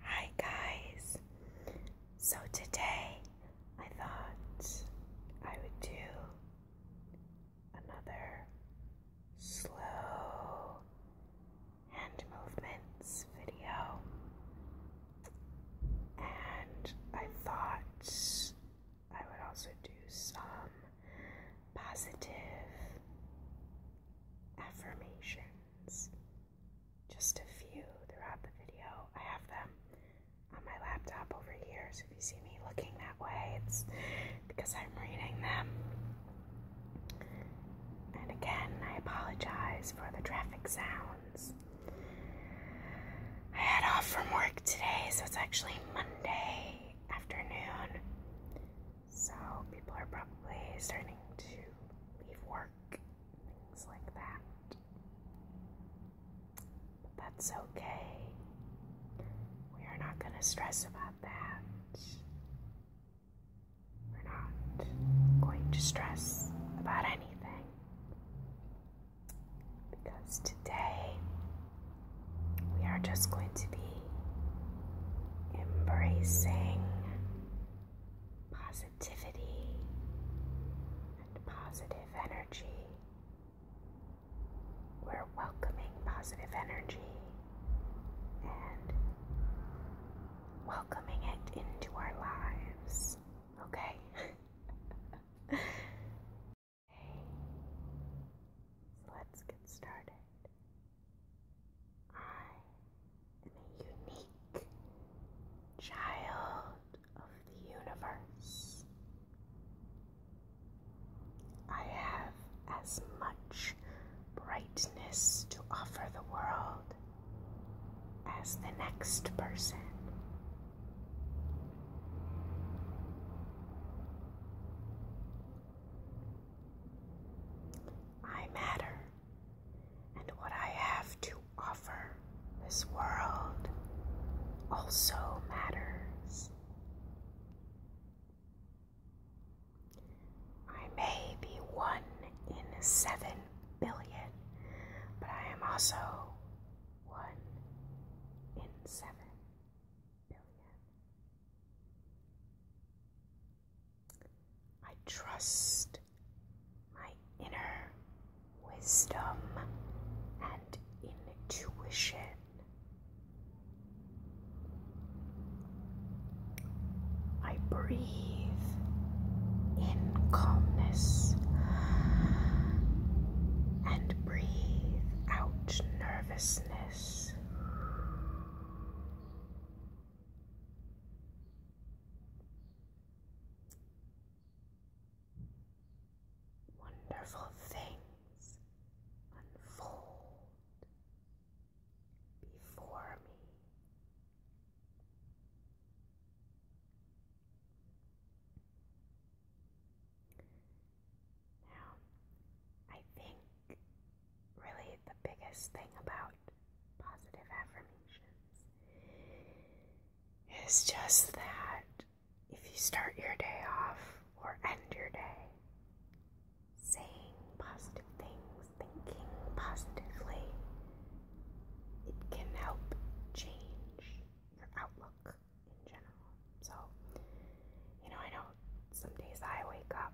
Hi guys. So today I thought I would do another slow hand movements video. And I thought I would also do some positive affirmations. Just a few throughout the video. I have them on my laptop over here, so if you see me looking that way, it's because I'm reading them. And again, I apologize for the traffic sounds. I had off from work today, so it's actually Monday afternoon. So people are probably starting to leave work, things like that. But that's okay. We are not going to stress about that. We're not going to stress about anything. Because today we are just going to be embracing positivity and positive energy. We're welcoming positive energy and welcoming it into our lives, okay? so let's get started. I unique child of the universe. I have as much brightness to offer the world as the next person. I matter, and what I have to offer this world also matters. I may be one in seven billion, but I am also one in seven I trust my inner wisdom and intuition. I breathe in calmness and breathe out nervousness. Wonderful things unfold before me. Now, I think really the biggest thing about positive affirmations is just that if you start your day off or end your day saying positive things, thinking positively, it can help change your outlook in general. So, you know, I know some days I wake up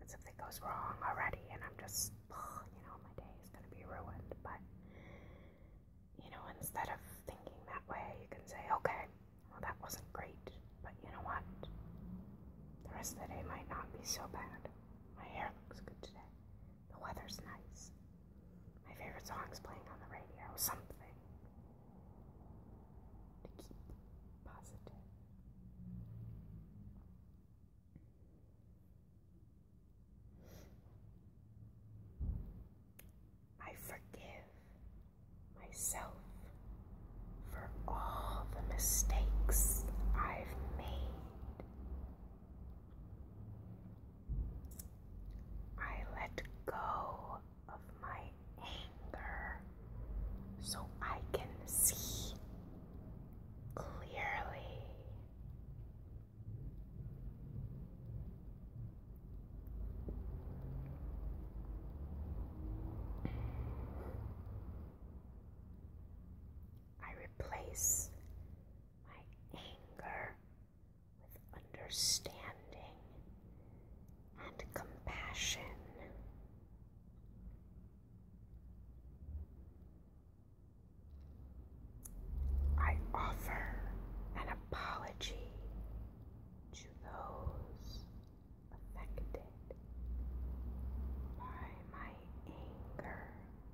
and something goes wrong already, and I'm just, you know, my day is going to be ruined. But, you know, instead of thinking that way, you can say, okay, well, that wasn't great, but you know what? The rest of the day might not be so bad. My hair looks good today. The weather's nice. My favorite song's playing on the radio. Something to keep positive. I forgive myself for all the mistakes I've made. I let go of my anger so I can see clearly. I replace my anger with understanding and compassion. I offer an apology to those affected by my anger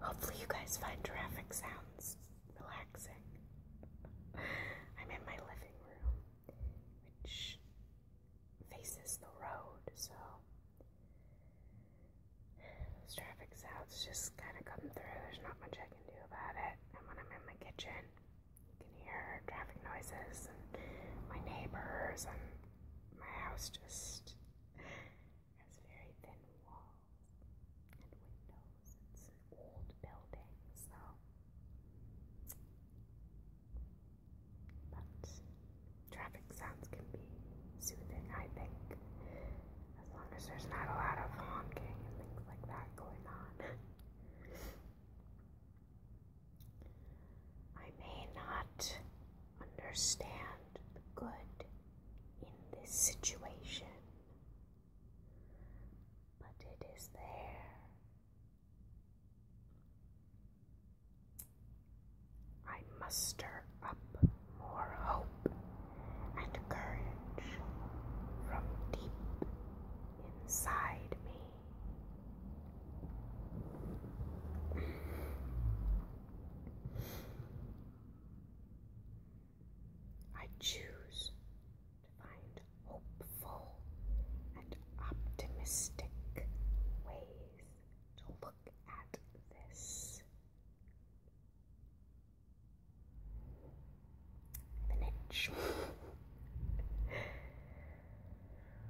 Hopefully, you guys find traffic sounds relaxing. I'm in my living room, which faces the road, so traffic sounds just kind of come through. There's not much I can do about it. And when I'm in my kitchen, you can hear traffic noises my neighbors and my house just has very thin walls and windows. It's an old building, so. But traffic sounds can be soothing, I think, as long as there's not a lot of honking and things like that going on. I may not understand the good in this situation, but it is there. I muster up more hope and courage from deep inside me. I choose to find hopeful and optimistic ways to look at this. An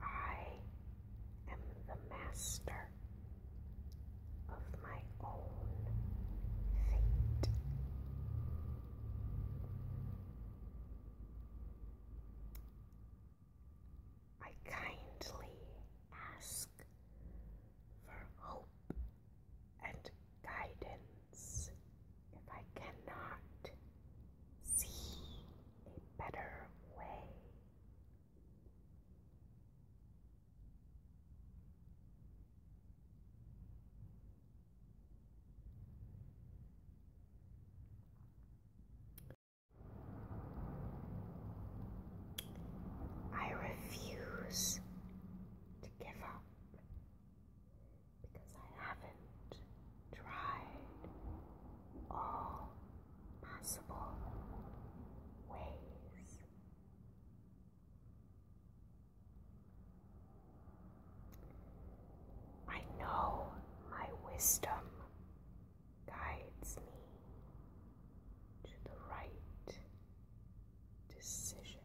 I am the master of my own fate. I kindly ask for hope and guidance if I cannot see a better way. I refuse to give up because I haven't tried all possible ways. I know my wisdom guides me to the right decision.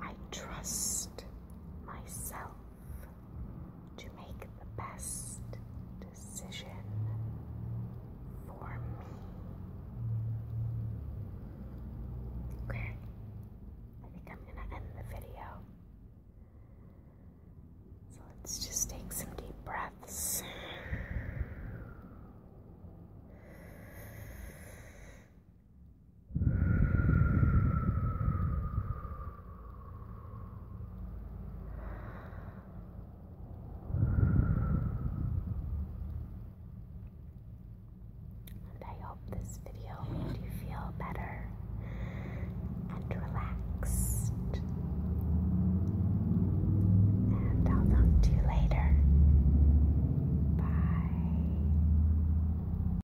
I trust myself to make the best decision for me. Okay, I think I'm going to end the video. So let's just take some deep breaths. And I hope this video made you feel better and relaxed. And I'll talk to you later. Bye.